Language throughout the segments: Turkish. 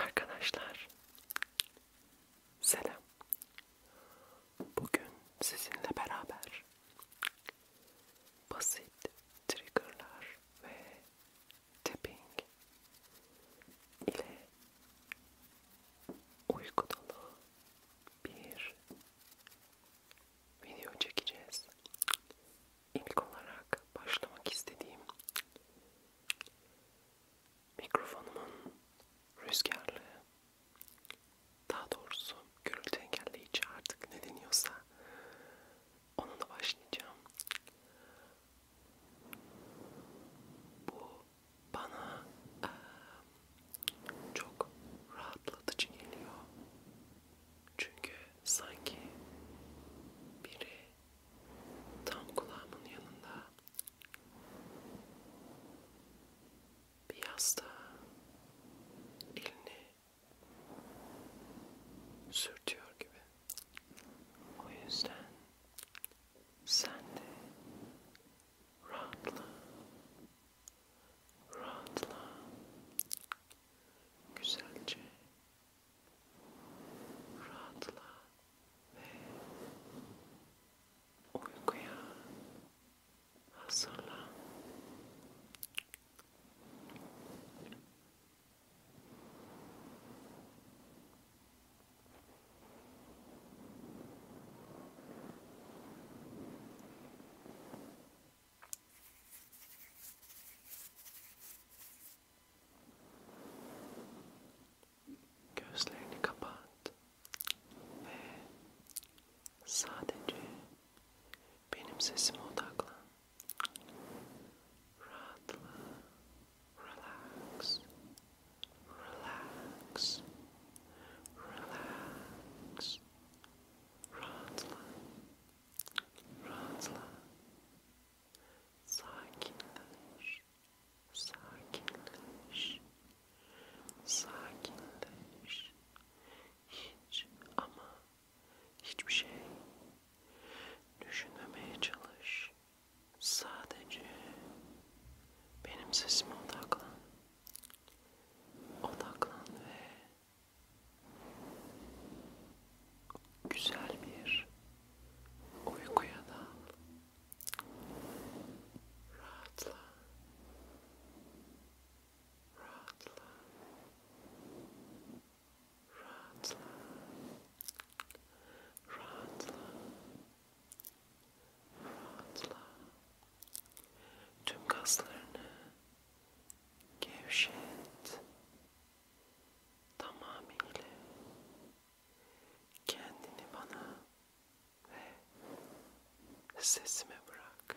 Arkadaşlar selam. Bugün sizinle beraber basit triggerlar ve tapping ile uyku dolu bir video çekeceğiz. İlk olarak başlamak istediğim mikrofonumun rüzgarlı daha doğrusu gürültü engelleyici artık ne deniyorsa onunla başlayacağım. Bu bana e, çok rahatlatıcı geliyor. Çünkü sanki biri tam kulağımın yanında bir yasta elini sürtüyor gibi. O yüzden sen de rahatla, rahatla, güzelce rahatla ve uykuya hazırlan. Gözlerini kapat ve sadece benim sesime odaklan. Rahatla, relax, Relax. Relax. Rahatla. Rahatla. Sakinleş. Sakinleş. Sakinleş. Hiç ama hiçbir şey düşünmemeye çalış. Sadece benim sesime odaklan. Odaklan ve güzel bir uykuya dal. Rahatla. Rahatla. Rahatla. Rahatla. Rahatla. Rahatla. Tüm kaslarını gevşet. Tamamıyla kendini bana ve sesime bırak.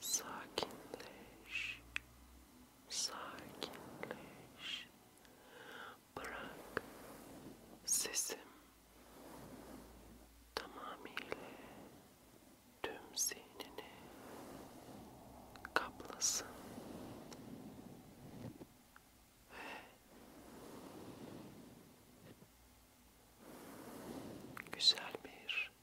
sakinleş, sakinleş. Bırak sesim tamamıyla tüm zihnini kaplasın ve güzel bir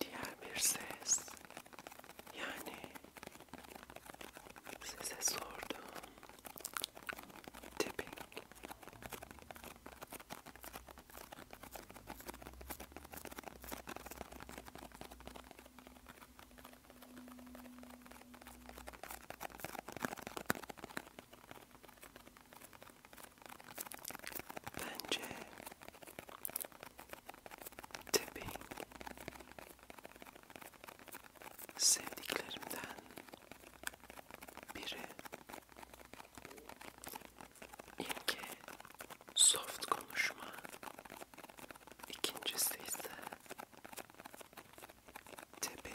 Diğer bir ses yani size sordum tipping Bence tapping sevdiklerimden biri İlki soft konuşma, ikincisi ise tapping.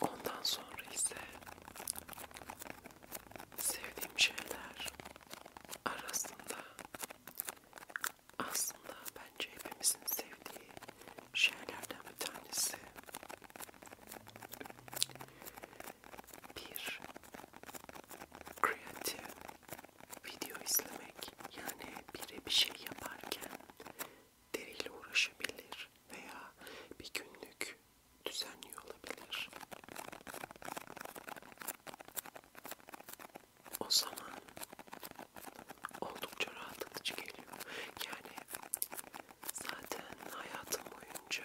Ondan sonra ise sevdiğim şeyler arasında aslında bence hepimizin sevdiği şeylerden bir tanesi bir kreatif video izlemek yani biri bir şey yaparken deriyle uğraşabilir veya bir günlük düzenliyor olabilir. O zaman oldukça rahatlatıcı geliyor. Yani zaten hayatım boyunca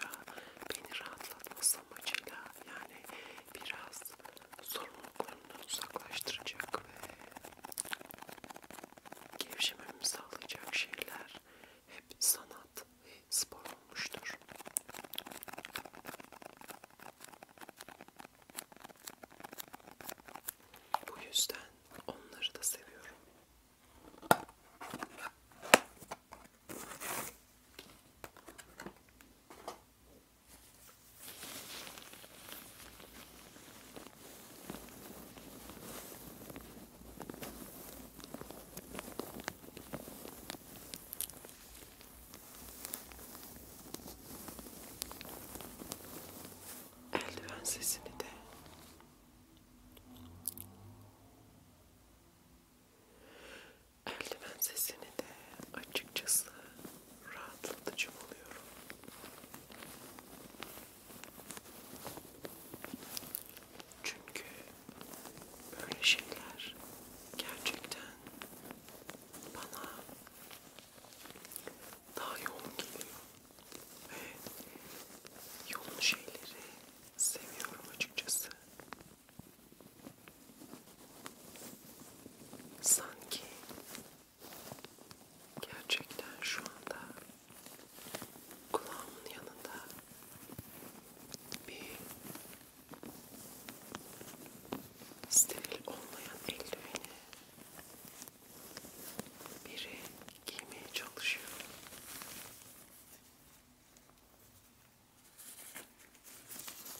beni rahatlatması amacıyla yani biraz sorumluluk bunlardan uzaklaştıracak ve gevşememi sağlayacak şeyler hep sanat ve spor olmuştur. Bu yüzden onları da seviyorum. Eldiven sesini de eldiven sesini de açıkçası rahatlatıcı buluyorum. Çünkü böyle şeyler gerçekten bana daha yoğun geliyor ve yoğun şeyleri seviyorum açıkçası. Sanki Gerçekten şu anda kulağımın yanında bir steril olmayan eldiveni biri giymeye çalışıyor.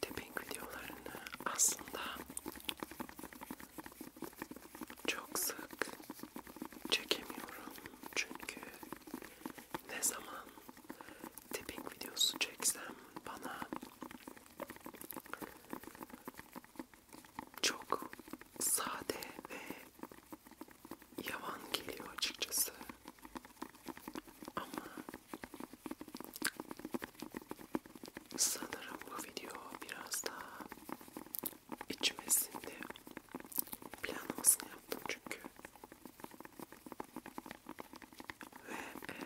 Tepink videolarını aslında çok sık çekemiyorum çünkü ne zaman tipping videosu çeksem bana çok sade ve yavan geliyor açıkçası. Ama sanırım bu video biraz daha içmesinde planlamasını yaptım çünkü ve e,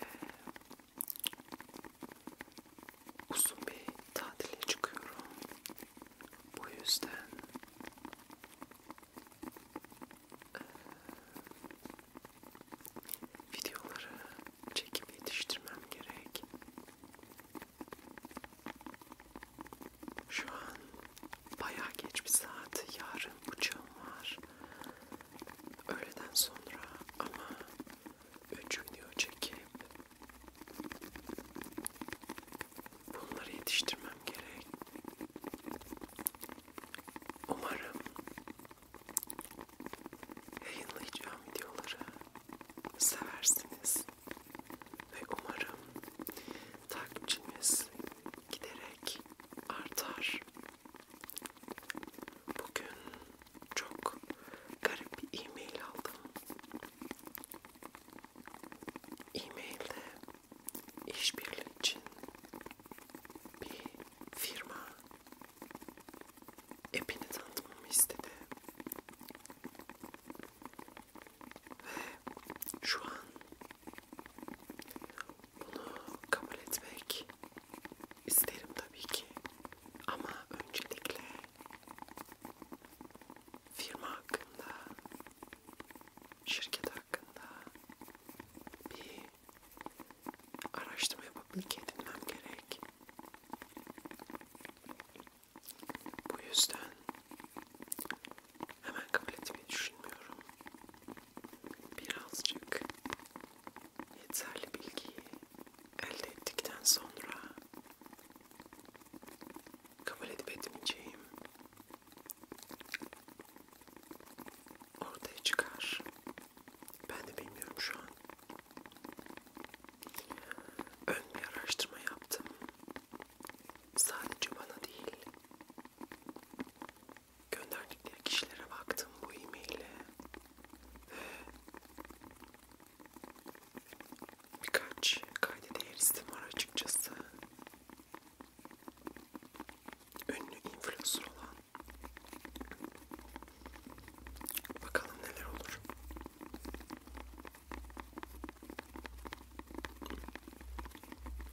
uzun bir tatile çıkıyorum bu yüzden e, videoları çekip yetiştirmem gerek şu an bayağı geç bir saat. Yarın uçağım var. Öğleden sonra ama üç video çekip bunları yetiştirmem gerek. Umarım yayınlayacağım videoları seversiniz ve umarım takipçiniz giderek artar. Bugün çok garip bir e-mail aldım. E-mailde işbirliği için bir firma app'ini tanıtmamı istedi. Ve şu an bunu kabul etmek isterim tabii ki. Ama öncelikle firma hakkında, şirket hakkında bir araştırma yapıp bilgi edinmem gerek. Bu yüzden Hemen kabul etmeyi düşünmüyorum. Birazcık yeterli bilgiyi elde ettikten sonra kabul edip etmeyeceğim ortaya çıkar. Ben de bilmiyorum şu an. Ön bir araştırma yaptım. Sadece bana değil, gönderdikleri kişilere baktım bu e-maile ve birkaç kayda değer isim var açıkçası. Ünlü influencer olan. Bakalım neler olur.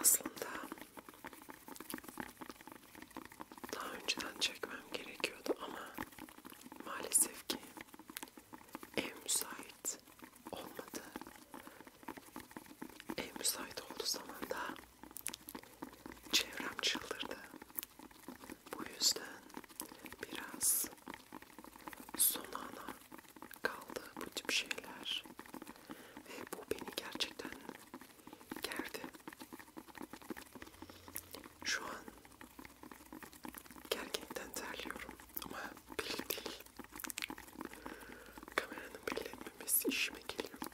Aslında daha önceden çekmem gerekiyordu ama maalesef ki ev müsait olmadı. Ev müsait olduğu zaman da Çevrem çıldırdı. Bu yüzden biraz son ana kaldı bu tip şeyler ve bu beni gerçekten gerdi. Şu an gerginlikten terliyorum ama belli değil. Kameranın belli etmemesi işime geliyor.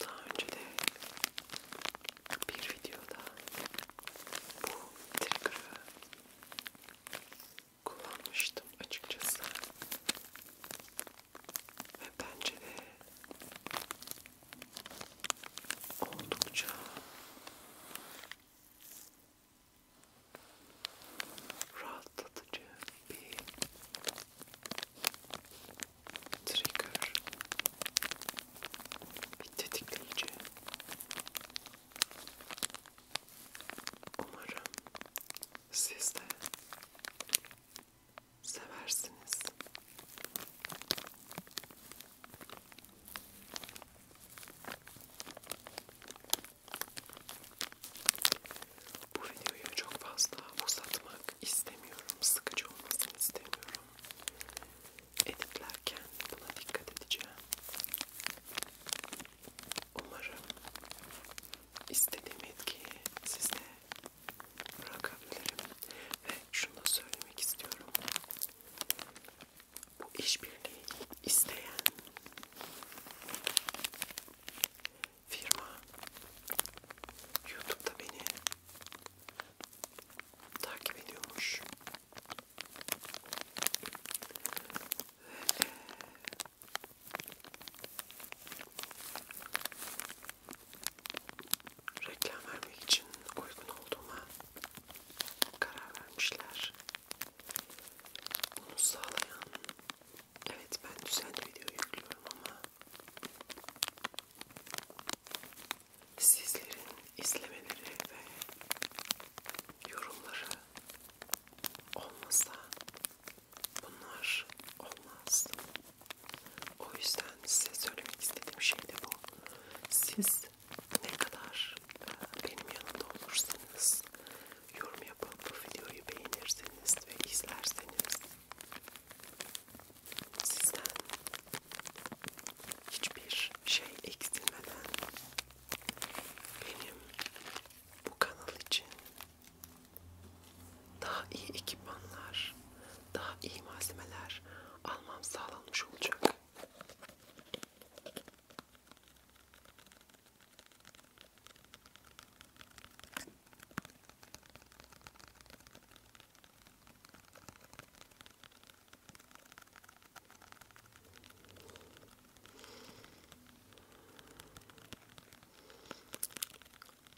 Daha önce de bir videoda bu trigger'ı kullanmıştım açıkçası ve bence de oldukça rahatlatıcı bir trigger, bir tetikleyici. Umarım siz de seversiniz. Bu videoyu çok fazla uzatmak istemiyorum, sıkıcı olmasını istemiyorum. Editlerken buna dikkat edeceğim. Umarım istediğim etkiyi siz de bırakabilirim. Ve şunu da söylemek istiyorum. Bu işbirliği isteyen firma YouTube'da beni takip ediyormuş. E, reklam vermek için uygun olduğuma karar vermişler. Bunu sağlayan, evet ben düzenli video yüklüyorum ama sizlerin izlemeleri ve yorumları olmasa bunlar olmaz. O yüzden size söylemek istediğim şey de bu. Siz ne kadar e, benim yanımda olursanız, yorum yapıp bu videoyu beğenirseniz ve izlerseniz sizden hiçbir şey eksilmeden benim bu kanal için daha iyi ekipmanlar, daha iyi malzemeler almam sağlanmış olacak.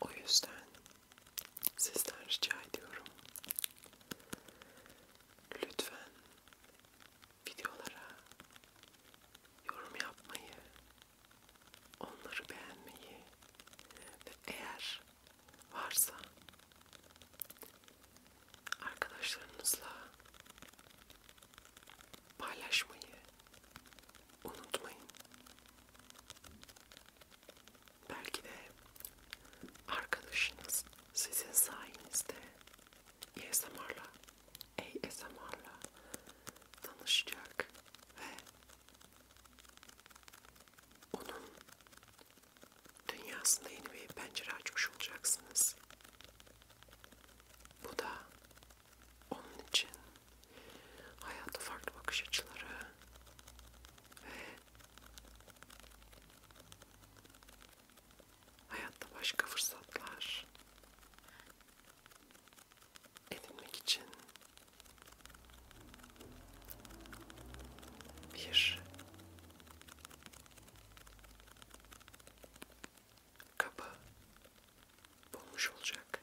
O yüzden sizden rica ediyorum. Lütfen videolara yorum yapmayı, onları beğenmeyi ve eğer varsa arkadaşlarınızla paylaşmayı unutmayın. Belki de arkadaşınız sizin sayenizde ASMR'la, ASMR'la tanışacak ve onun dünyasında yeni bir pencere açmış olacaksınız. Bu da onun için hayata farklı bakış açıları ve hayatta başka fırsatlar edinmek için bir kapı bulmuş olacak.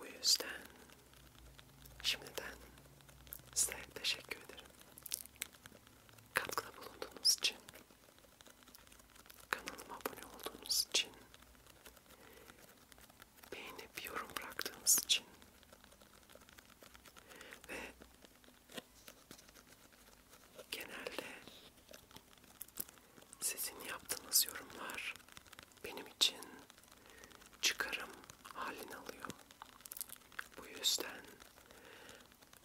Bu yüzden şimdiden size teşekkür ederim. Katkıda bulunduğunuz için, kanalıma abone olduğunuz için, beğenip yorum bıraktığınız için ve genelde sizin yaptığınız yorumlar benim için çıkarım halini alıyor. Bu yüzden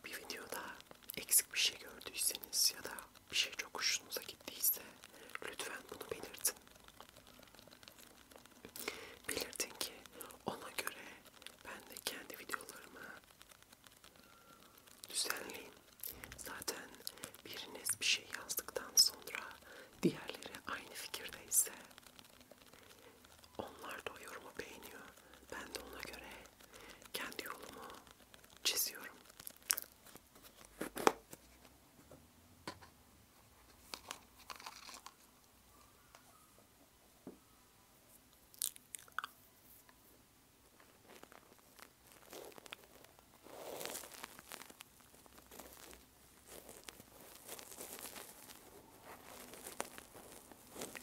bir videoda eksik bir şey gördüyseniz ya da bir şey çok hoşunuza gittiyse lütfen bunu belirtin. Belirtin ki ona göre ben de kendi videolarımı Düzenleyin. Zaten biriniz bir şey yazdıktan sonra diğerleri aynı fikirdeyse onlar da o yorumu beğeniyor. Ben de ona göre kendi yolumu çiziyorum.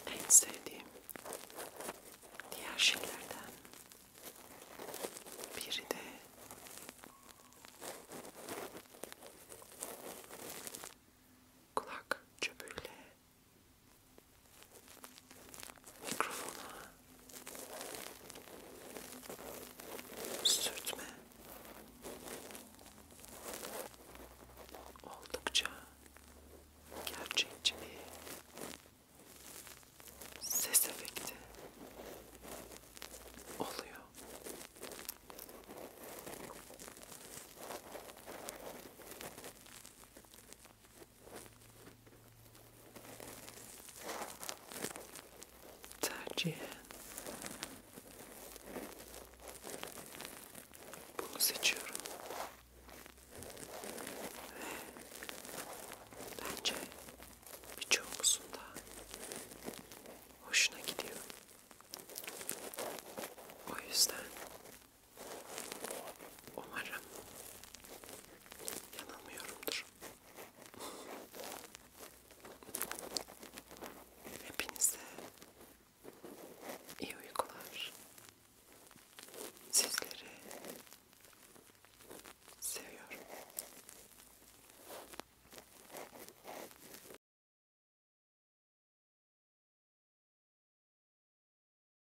En sevdiğim diğer şeylerden biri de kulak çöpüyle mikrofona sürtme oldukça gerçekçi bir ses efekti oluyor tercihen bunu seçiyorum ve bence birçoğumuzun da hoşuna gidiyor. O yüzden Umarım yanılmıyorumdur. Hepinize iyi uykular. Sizleri seviyorum.